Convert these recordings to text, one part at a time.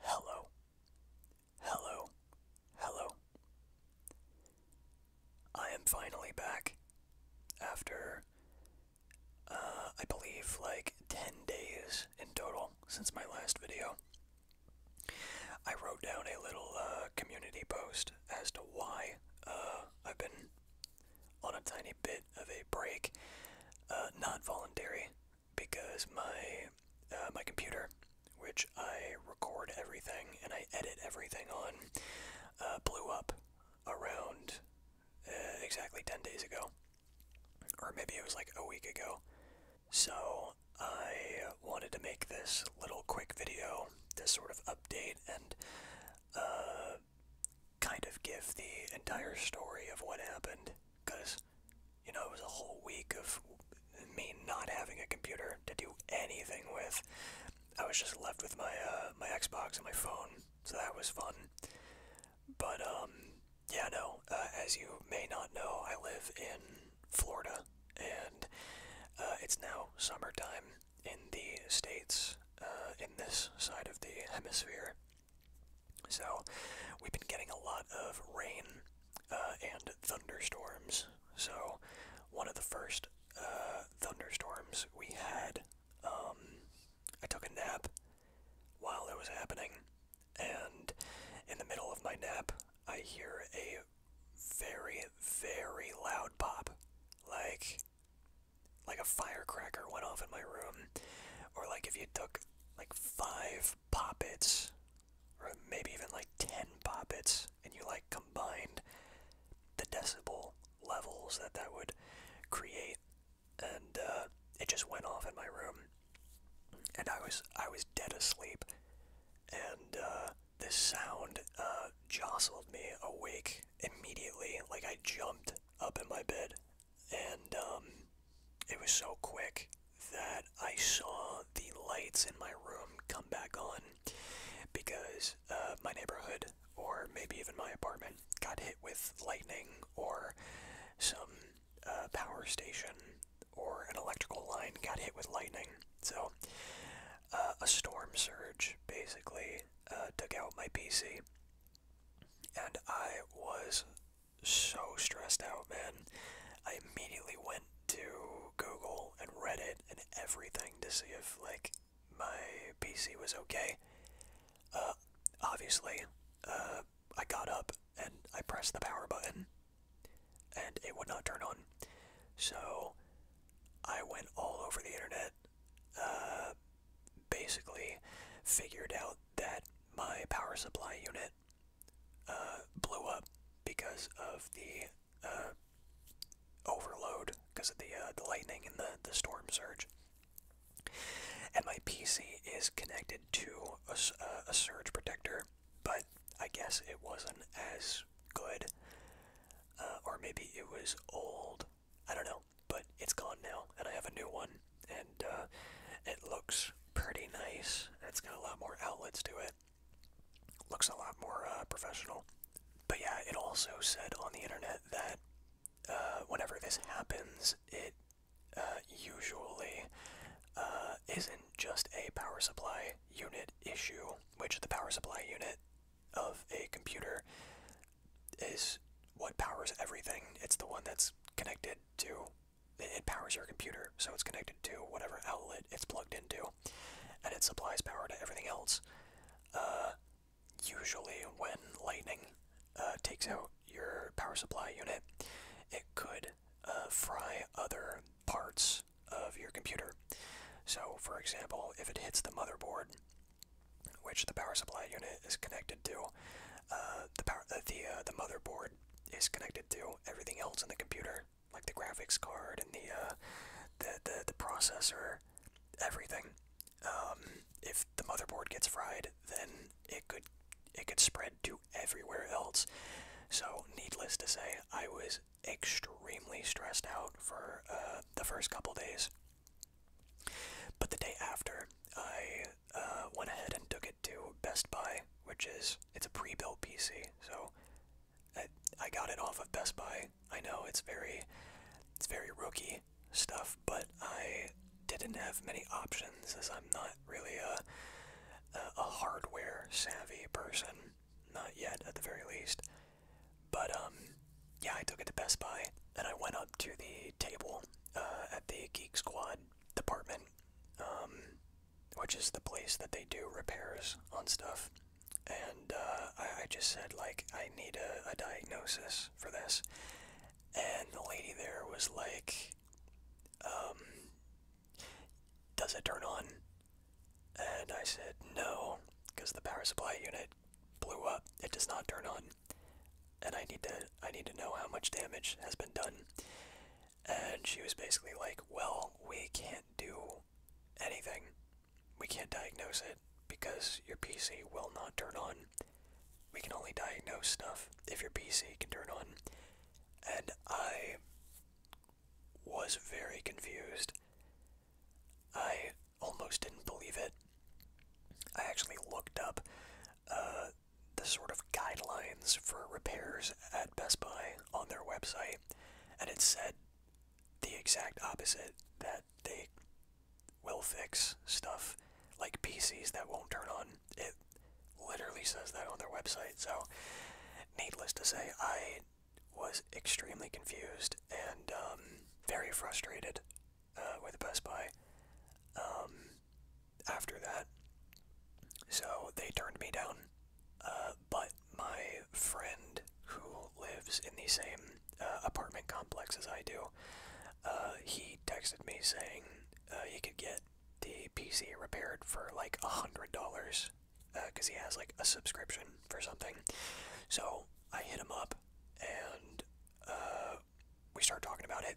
Hello, hello, hello. I am finally back after, uh, I believe, like 10 days in total since my last video. I wrote down a little uh, community post as to why uh, I've been on a tiny bit of a break. Uh, not voluntary, because my uh, my computer, which I record everything and I edit everything on, uh, blew up around uh, exactly ten days ago, or maybe it was like a week ago. So I wanted to make this little quick video, to sort of update and kind of give the entire story of what happened because you know it was a whole week of me not having a computer to do anything with i was just left with my uh, my xbox and my phone so that was fun but um yeah no uh, as you may not know i live in florida and uh, it's now summertime in the states uh, in this side of the hemisphere so, we've been getting a lot of rain uh, and thunderstorms. So, one of the first uh, thunderstorms we had, um, I took a nap while it was happening, and in the middle of my nap, I hear a very, very loud pop. Like, like a firecracker went off in my room, or like if you took like five poppets, or maybe even like ten poppets, and you like combined the decibel levels that that would create, and uh, it just went off in my room, and I was I was dead asleep, and uh, this sound uh, jostled me awake immediately. Like I jumped up in my bed and um, it was so quick that I saw the lights in my room come back on because uh, my neighborhood or maybe even my apartment got hit with lightning or some uh, power station or an electrical line got hit with lightning. So uh, a storm surge basically took out my PC and I was so stressed out, man. I immediately went to Google and Reddit and everything to see if, like, my PC was okay. Uh, obviously, uh, I got up and I pressed the power button, and it would not turn on. So, I went all over the internet, uh, basically figured out that my power supply unit uh, blew up because of the uh, overload, because of the uh, the lightning and the the storm surge. And my PC is connected to a, uh, a surge protector, but I guess it wasn't as good, uh, or maybe it was old. I don't know but it's gone now, and I have a new one, and uh, it looks pretty nice. It's got a lot more outlets to it. Looks a lot more uh, professional. But yeah, it also said on the internet that uh, whenever this happens, it usually isn't just a power supply unit issue, which the power supply unit of a computer is what powers everything. It's the one that's connected to it powers your computer, so it's connected to whatever outlet it's plugged into, and it supplies power to everything else. Uh, usually, when lightning uh, takes out your power supply unit, it could uh, fry other parts of your computer. So, for example, if it hits the motherboard, which the power supply unit is connected to. Uh, the power, uh, the uh, the motherboard is connected to everything else in the computer, like the graphics card and the the, the processor, everything. Um, if the motherboard gets fried, then it could it could spread to everywhere else. So, needless to say, I was extremely stressed out for the first couple days. But the day after, I uh, went ahead and took it to Best Buy, which is it's a pre-built PC, so I, I got it off of Best Buy. I know it's very it's very rookie stuff, but I didn't have many options as I'm not really a a, hardware savvy person, not yet at the very least. But um, yeah, I took it to Best Buy and I went up to the table uh, at the Geek Squad department, um, which is the place that they do repairs on stuff. And uh, I, just said, like, I need a, diagnosis for this. And the lady there was like, um, does it turn on? And I said, no, because the power supply unit blew up. It does not turn on and I need to I need to know how much damage has been done. And she was basically like, "Well, we can't do anything. We can't diagnose it because your PC will not turn on. We can only diagnose stuff if your PC can turn on." And I was very confused. I almost didn't believe it. I actually looked up uh, the sort of guidelines for repairs at Best Buy on their website, and it said the exact opposite that they will fix stuff like PCs that won't turn on. It literally says that on their website. So, needless to say, I was extremely confused and um, very frustrated uh, with Best Buy um, after that. So they turned me down. Uh, but my friend who lives in the same uh, apartment complex as I do, uh, he texted me saying uh, he could get the PC repaired for like a hundred dollars because uh, he has like a subscription for something. So I hit him up and we start talking about it,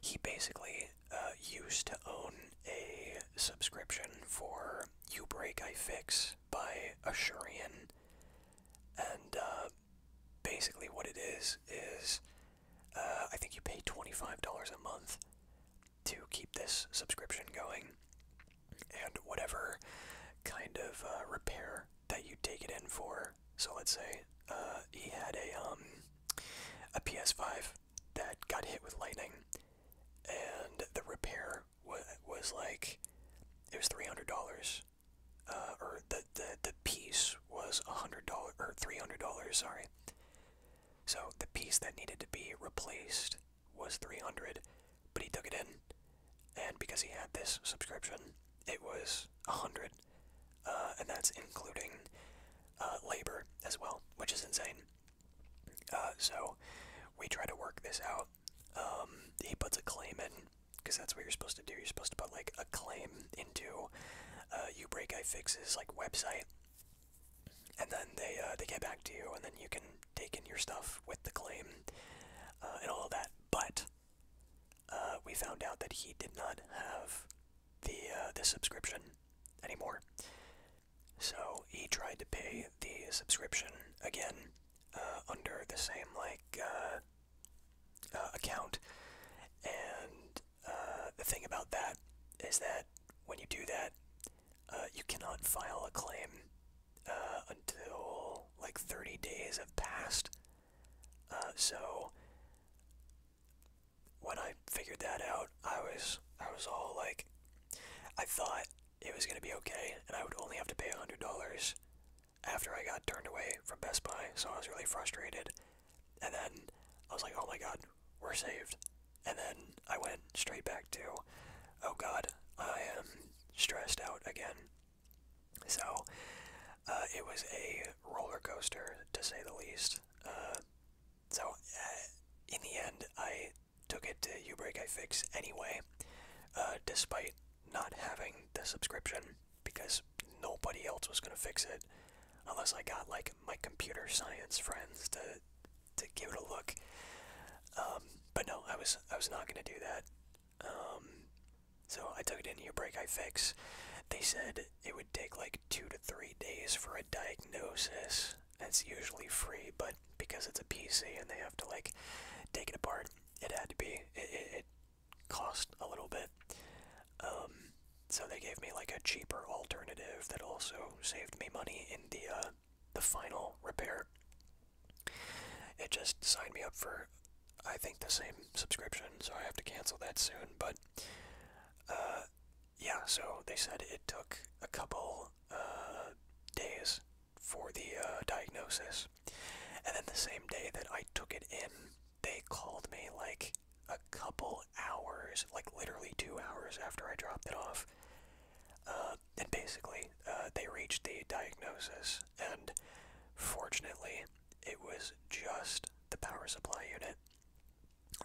he basically uh, used to own a subscription for "You Break, I Fix" by Ashurian, and uh, basically what it is is uh, I think you pay twenty-five dollars a month to keep this subscription going, and whatever kind of repair that you take it in for so let's say uh, he had a um, a PS5 that got hit with lightning, and the repair was like it was three hundred dollars, uh, or the the the piece was a hundred dollar or three hundred dollars. Sorry. So the piece that needed to be replaced was three hundred, but he took it in, and because he had this subscription, it was a hundred. Uh, and that's including uh, labor as well, which is insane. Uh, so we try to work this out. Um, he puts a claim in because that's what you're supposed to do. You're supposed to put like a claim into uh, break I fixes like website, and then they they get back to you, and then you can take in your stuff with the claim and all of that. But uh, we found out that he did not have the uh, the subscription anymore. So he tried to pay the subscription again uh, under the same like account, and the thing about that is that when you do that, you cannot file a claim until like 30 days have passed. so when I figured that out, I was I was all like, I thought it was gonna be okay, and I would only have to pay a hundred dollars after I got turned away from Best Buy, so I was really frustrated. And then I was like, oh my god, we're saved. And then I went straight back to, oh god, I am stressed out again. So uh, it was a roller coaster, to say the least. Uh, so, uh, in the end, I took it to U Break I Fix anyway, despite not having the subscription, because nobody else was going to fix it unless I got like my computer science friends to to give it a look. Um, but no, I was I was not going to do that. Um, so I took it in your break I fix. They said it would take like two to three days for a diagnosis. That's usually free, but because it's a PC and they have to like take it apart, it had to be. It, cost a little bit. Um, so they gave me like a cheaper alternative that also saved me money in the uh, the final repair. It just signed me up for I think the same subscription, so I have to cancel that soon. But uh, yeah, so they said it took a couple uh, days for the uh, diagnosis, and then the same day that I took it in, they called me like a couple hours, like literally two hours after I dropped it off. Uh, and basically, they reached the diagnosis, and fortunately, it was just the power supply unit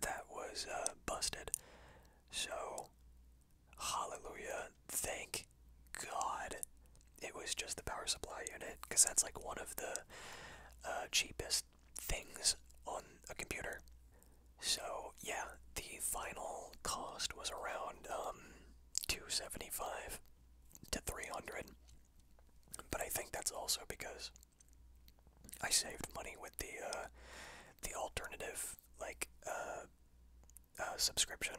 that was uh, busted. So, hallelujah, thank God it was just the power supply unit because that's like one of the uh, cheapest things on a computer. So, yeah, the final cost was around um, 275 to 300 but I think that's also because I saved money with the uh, the alternative like uh, uh, subscription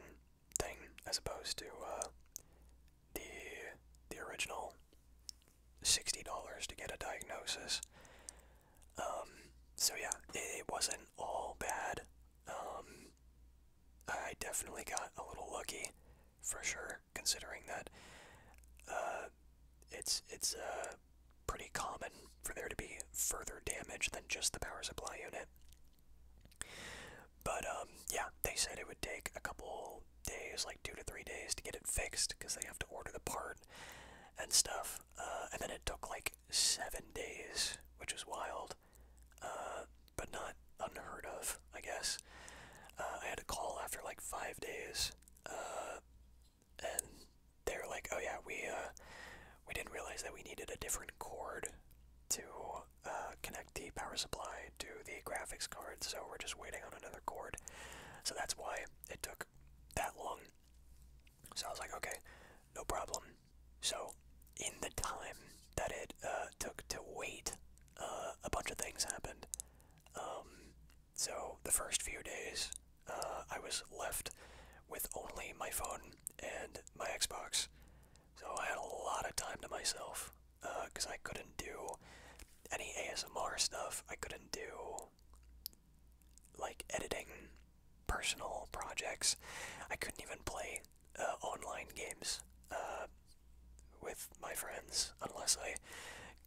thing as opposed to the the original sixty dollars to get a diagnosis. Um, so yeah, it, wasn't all bad. Um, I definitely got a little lucky, for sure considering that uh, it's it's uh, pretty common for there to be further damage than just the power supply unit. But um, yeah, they said it would take a couple days, like two to three days, to get it fixed because they have to order the part and stuff. Uh, and then it took like seven days, which is wild, but not unheard of, I guess. Uh, I had a call after like five days, uh, and they were like, "Oh yeah, we uh, we didn't realize that we needed a different cord to connect the power supply to the graphics card, so we're just waiting on another cord." So that's why it took that long. So I was like, "Okay, no problem." So in the time that it took to wait, a bunch of things happened. Um, so the first few days, uh, I was left with only my phone and my Xbox. So I had a lot of time to myself because uh, I couldn't do any ASMR stuff. I couldn't do like editing personal projects. I couldn't even play uh, online games with my friends unless I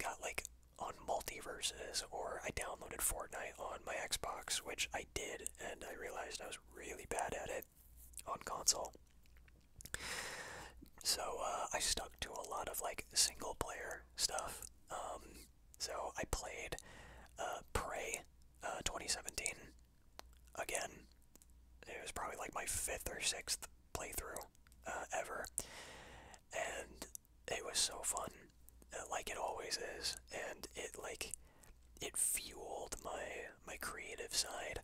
got like on multiverses or I downloaded Fortnite on my Xbox, which I did, and I realized I was really bad at it on console. So uh, I stuck to a lot of like single player stuff. Um, so I played uh, Prey uh, 2017 again. It was probably like my fifth or sixth playthrough uh, ever, and it was so fun, uh, like it always is, and it like it fueled my my creative side,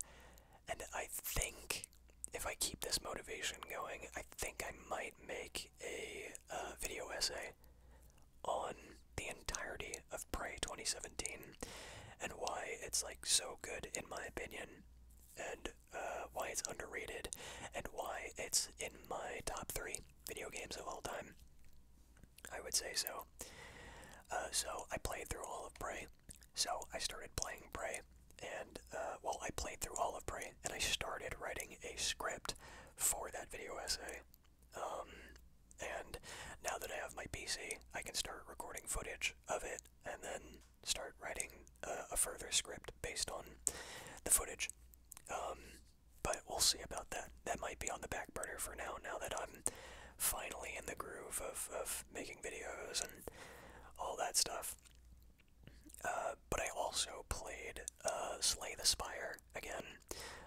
and I think if I keep this motivation going, I think I might make a uh, video essay on the entirety of Prey 2017 and why it's like so good in my opinion and uh, why it's underrated, and why it's in my top three video games of all time. I would say so. Uh, so I played through all of Prey. So I started playing Prey, and uh, well, I played through all of Prey, and I started writing a script for that video essay. Um, and now that I have my PC, I can start recording footage of it, and then start writing a further script based on the footage. Um, but we'll see about that. That might be on the back burner for now, now that I'm finally in the groove of, of making videos and all that stuff. Uh, but I also played uh, Slay the Spire again.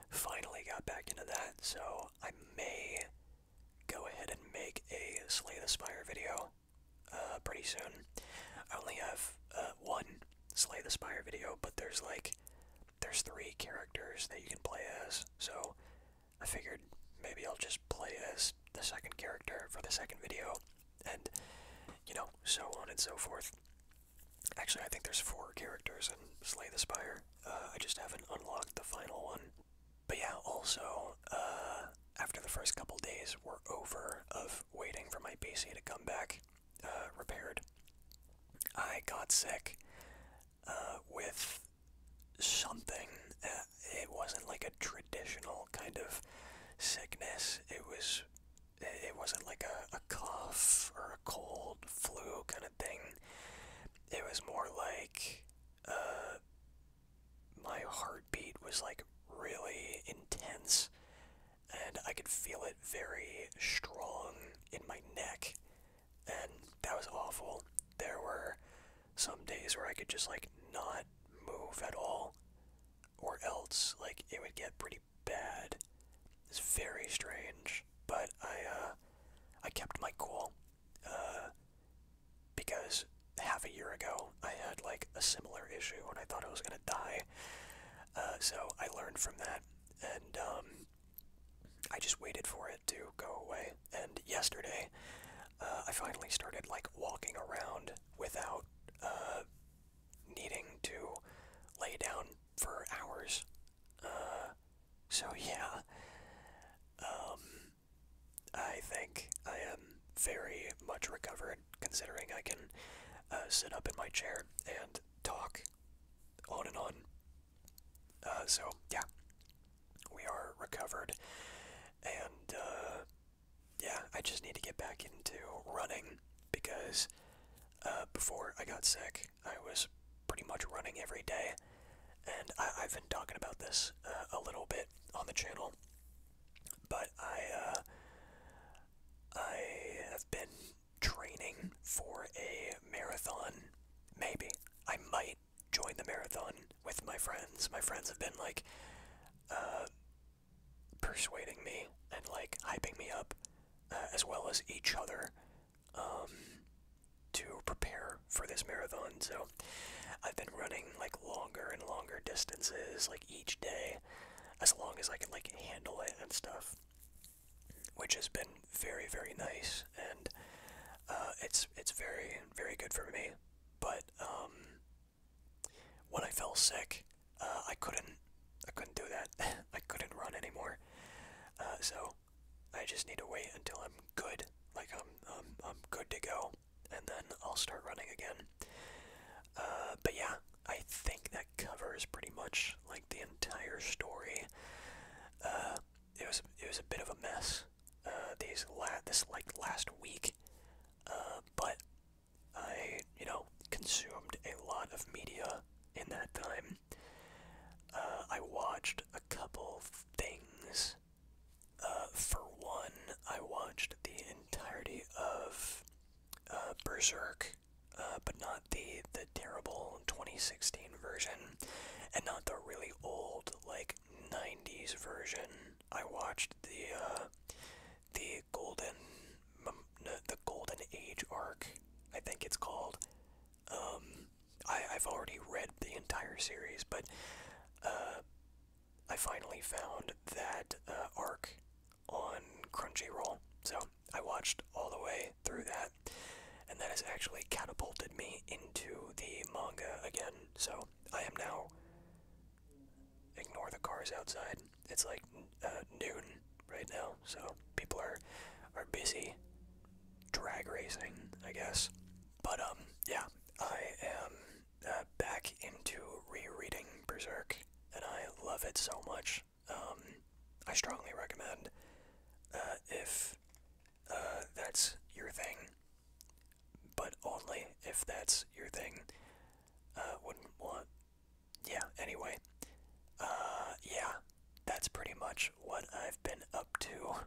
Finally got back into that, so I may go ahead and make a Slay the Spire video. Uh, pretty soon. I only have uh, one Slay the Spire video, but there's like there's three characters that you can play as, so I figured maybe I'll just play as the second character for the second video, and you know, so on and so forth. Actually, I think there's four characters in Slay the Spire. Uh, I just haven't unlocked the final one. But yeah, also, uh, after the first couple days were over of waiting for my PC to come back uh, repaired, I got sick uh, with something. it wasn't like a traditional kind of sickness. It was. It wasn't like a, a cough or a cold flu kind of thing. It was more like uh, my heartbeat was like really intense, and I could feel it very strong in my neck, and that was awful. There were some days where I could just like not move at all, or else like it would get pretty bad. It's very strange, but I uh, I kept my cool uh, because half a year ago I had like a similar issue and I thought I was gonna die. Uh, so I learned from that, and um, I just waited for it to go away. And yesterday, uh, I finally started like walking around without uh, needing to lay down for hours. Uh, so yeah, um, I think I am very much recovered, considering I can uh, sit up in my chair and talk on and on. Uh, so, yeah, we are recovered. And, uh, yeah, I just need to get back into running because before I got sick, I was pretty much running every day and I, I've been talking about this uh, a little bit on the channel, but I uh, I have been training for a marathon. Maybe I might join the marathon with my friends. My friends have been like uh, persuading me and like hyping me up, uh, as well as each other, um, to prepare for this marathon, so I've been running like longer and longer distances, like each day, as long as I can like handle it and stuff, which has been very very nice, and uh, it's it's very very good for me. But um, when I fell sick, uh, I couldn't I couldn't do that. I couldn't run anymore, uh, so I just need to wait until I'm good. Like I'm, I'm, I'm good to go, and then I'll start running again. Uh, but yeah, I think that covers pretty much like the entire story. Uh, it was it was a bit of a mess. Uh, these la- this like last week, but I you know consumed a lot of media in that time. I watched a couple things uh, for one, I watched the entirety of uh, Berserk, uh, but not the the terrible 2016 version, and not the really old like 90s version. I watched the the golden the golden age arc, I think it's called. Um, I, I've already read the entire series, but I finally found that uh, arc on Crunchyroll, so I watched all the way through that, and that has actually catapulted me into the manga again. So I am now. Ignore the cars outside. It's like uh, noon right now, so people are are busy drag racing, I guess. But um, yeah, I am uh, back into rereading Berserk, and I love it so much. Um, I strongly recommend uh, if uh, that's your thing, but only if that's your thing. wouldn't want. Yeah. Anyway, yeah, that's pretty much what I've been up to.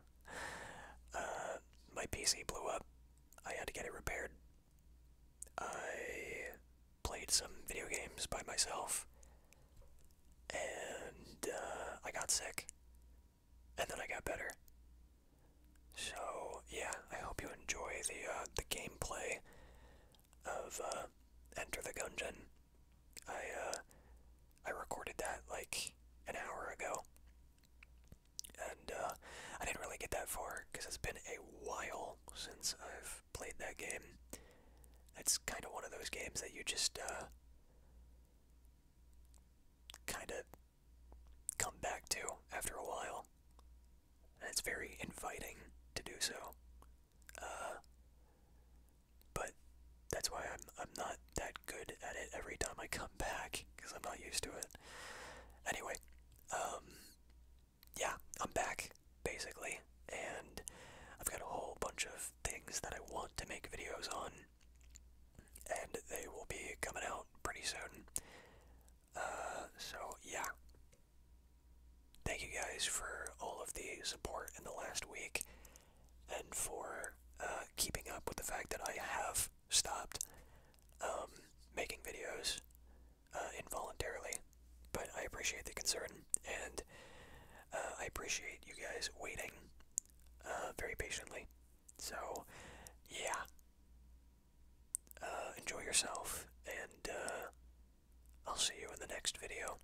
my PC blew up, I had to get it repaired. I played some video games by myself, and uh, I got sick, and then I got better. So yeah, I hope you enjoy the uh, the gameplay of uh, Enter the Gungeon. I I recorded that like an hour ago, and uh, I didn't really get that far because it's been a while since I've played that game. It's kind of one of those games that you just uh, kind of come back to after a while, and it's very inviting to do so. Uh, but that's why I'm I'm not that good at it every time I come back because I'm not used to it. Anyway, um, yeah, I'm back basically, and I've got a whole bunch of things that I want to make videos on, and they will be coming out pretty soon. Uh, so yeah. Thank you guys for all of the support in the last week and for uh, keeping up with the fact that I have stopped um, making videos uh, involuntarily, but I appreciate the concern and uh, I appreciate you guys waiting uh, very patiently. So, yeah. enjoy yourself, and I'll see you in the next video.